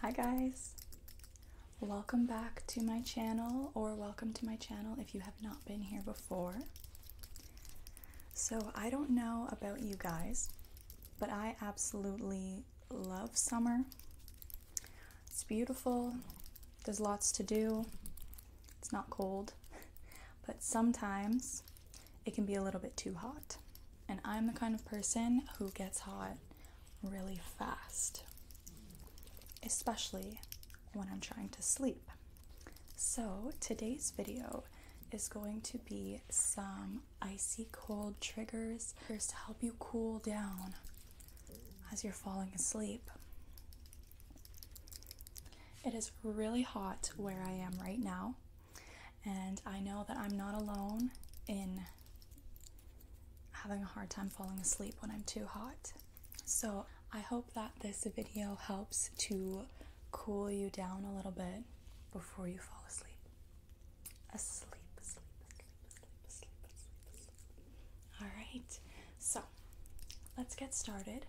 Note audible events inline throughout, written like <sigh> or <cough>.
Hi guys! Welcome back to my channel, or welcome to my channel if you have not been here before. So, I don't know about you guys, but I absolutely love summer. It's beautiful, there's lots to do, it's not cold, <laughs> but sometimes it can be a little bit too hot. And I'm the kind of person who gets hot really fast, especially when I'm trying to sleep. So, today's video is going to be some icy cold triggers to help you cool down as you're falling asleep. It is really hot where I am right now, and I know that I'm not alone in having a hard time falling asleep when I'm too hot. So I hope that this video helps to cool you down a little bit before you fall asleep. Asleep, asleep, asleep, asleep, asleep, asleep, All right, so let's get started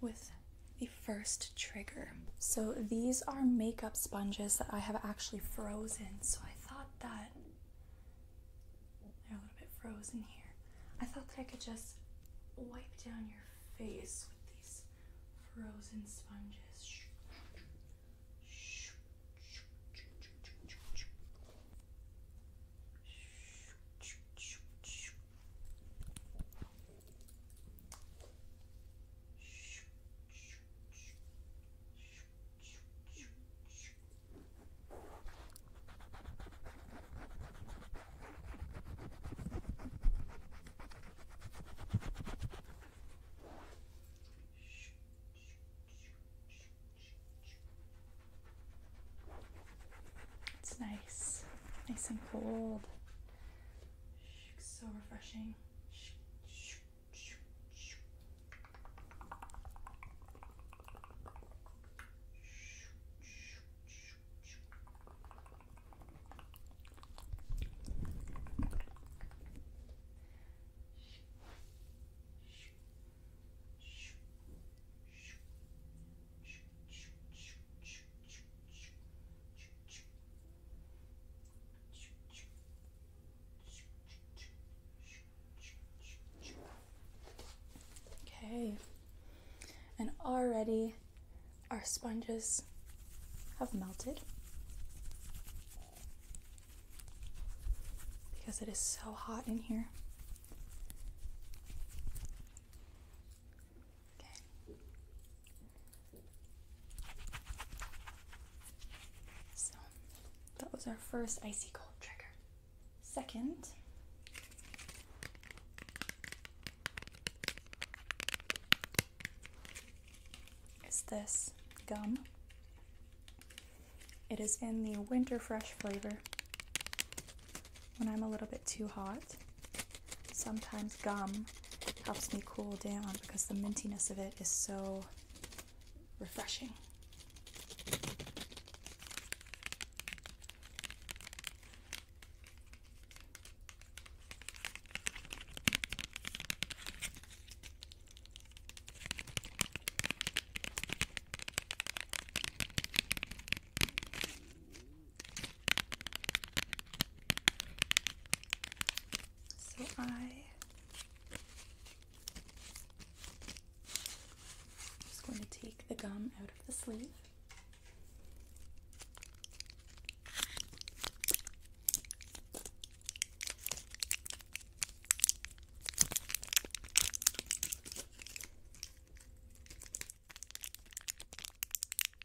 with the first trigger. So these are makeup sponges that I have actually frozen. So I thought that they're a little bit frozen here. I thought that I could just wipe down your face with these frozen sponges. It's nice, nice and cold. So refreshing. Okay, and already our sponges have melted because it is so hot in here. So that was our first icy cold trigger. Second, is this gum. It is in the winter fresh flavor when I'm a little bit too hot. Sometimes gum helps me cool down because the mintiness of it is so refreshing. So I am just going to take the gum out of the sleeve.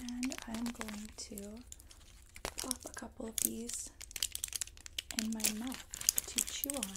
And I'm going to pop a couple of these in my mouth to chew on.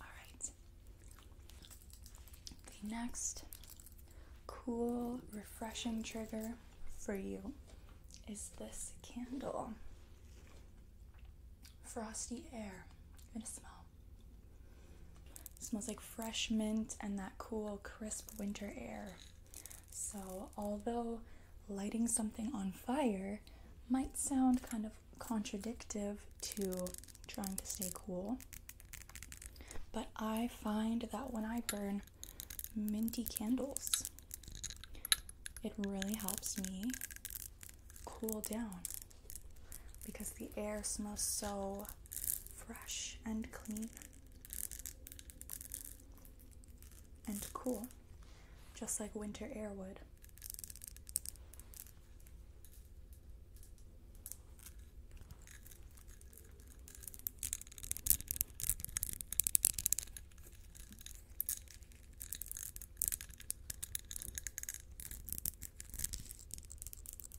All right. The next cool, refreshing trigger for you is this candle. Frosty air. You're gonna smell smells like fresh mint and that cool, crisp winter air. So, although lighting something on fire might sound kind of contradictory to trying to stay cool, but I find that when I burn minty candles, it really helps me cool down because the air smells so fresh and clean and cool, just like winter air would.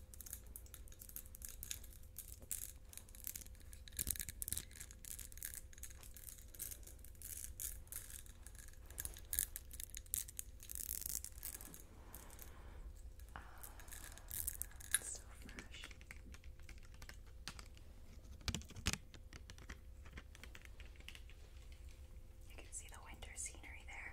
Oh, ah, it's so fresh. You can see the winter scenery there.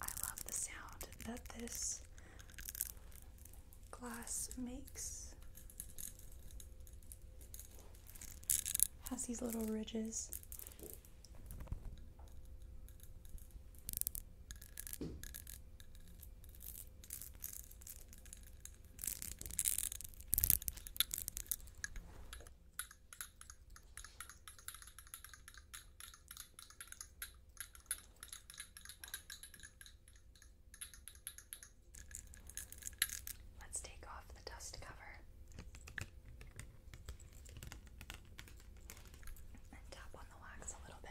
I love the sound that this glass makes. Has these little ridges Let's take off the dust cover. And tap on the wax a little bit.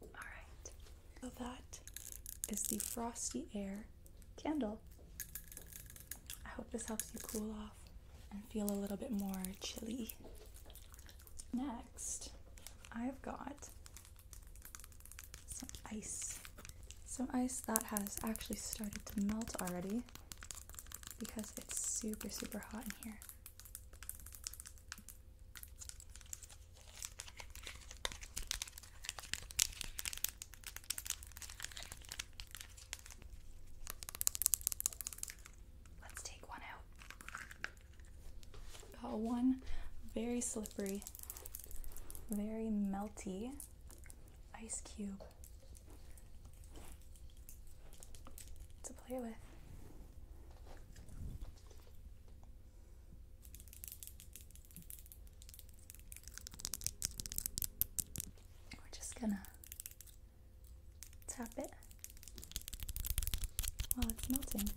All right. So that is the Frosty Air candle. I hope this helps you cool off and feel a little bit more chilly. Next, I've got some ice. Some ice that has actually started to melt already because it's super, super hot in here. Let's take one out. Got oh, one very slippery, very melty ice cube to play with. We're just gonna tap it while it's melting.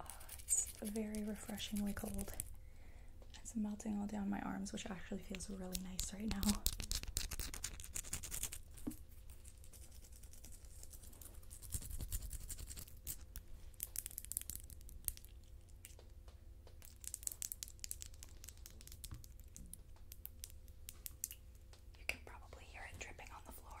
Oh, it's very refreshingly cold. It's melting all down my arms, which actually feels really nice right now. You can probably hear it dripping on the floor.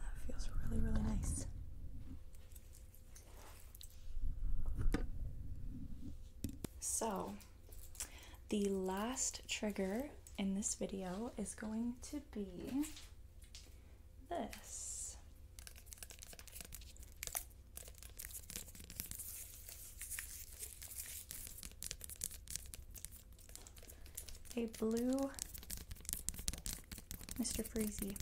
That feels really, really nice. So, the last trigger in this video is going to be this a blue Mr. Freezy.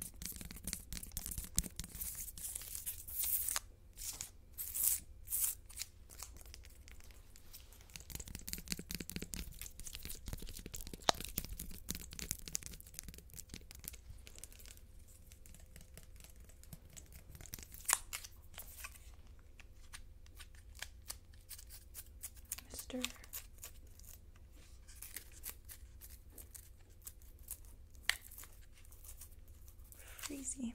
Mr. Freezy.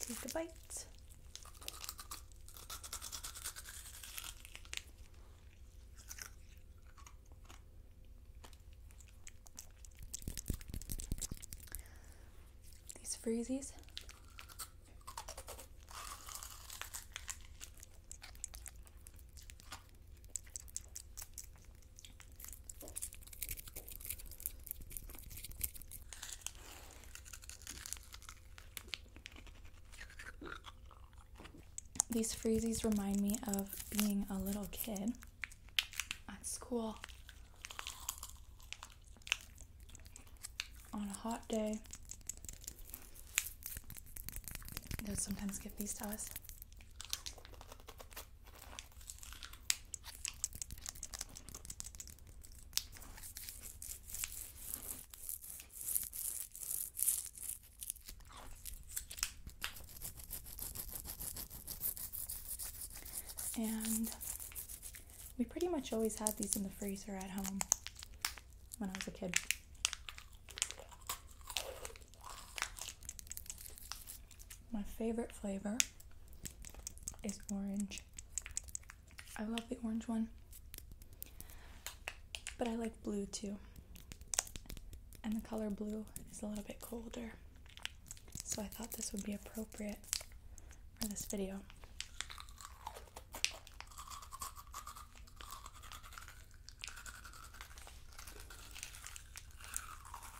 Take a bite. These freezies. These freezies remind me of being a little kid at school on a hot day. They would sometimes give these to us. And we pretty much always had these in the freezer at home when I was a kid. My favorite flavor is orange. I love the orange one, but I like blue too. And the color blue is a little bit colder, so I thought this would be appropriate for this video.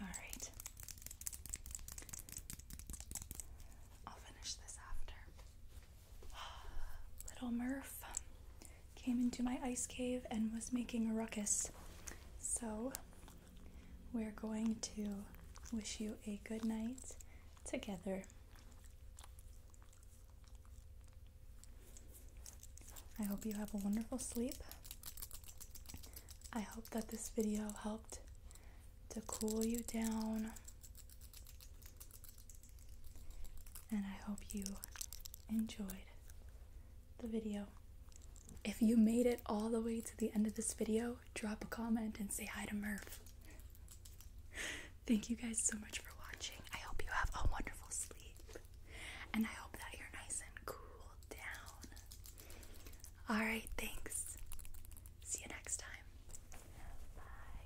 All right. I'll finish this after. <gasps> Little Murph came into my ice cave and was making a ruckus. So, we're going to wish you a good night together. I hope you have a wonderful sleep. I hope that this video helped to cool you down and I hope you enjoyed the video. If you made it all the way to the end of this video, drop a comment and say hi to Murph. Thank you guys so much for watching. I hope you have a wonderful sleep. And I hope that you're nice and cool down. Alright, thanks. See you next time. Bye.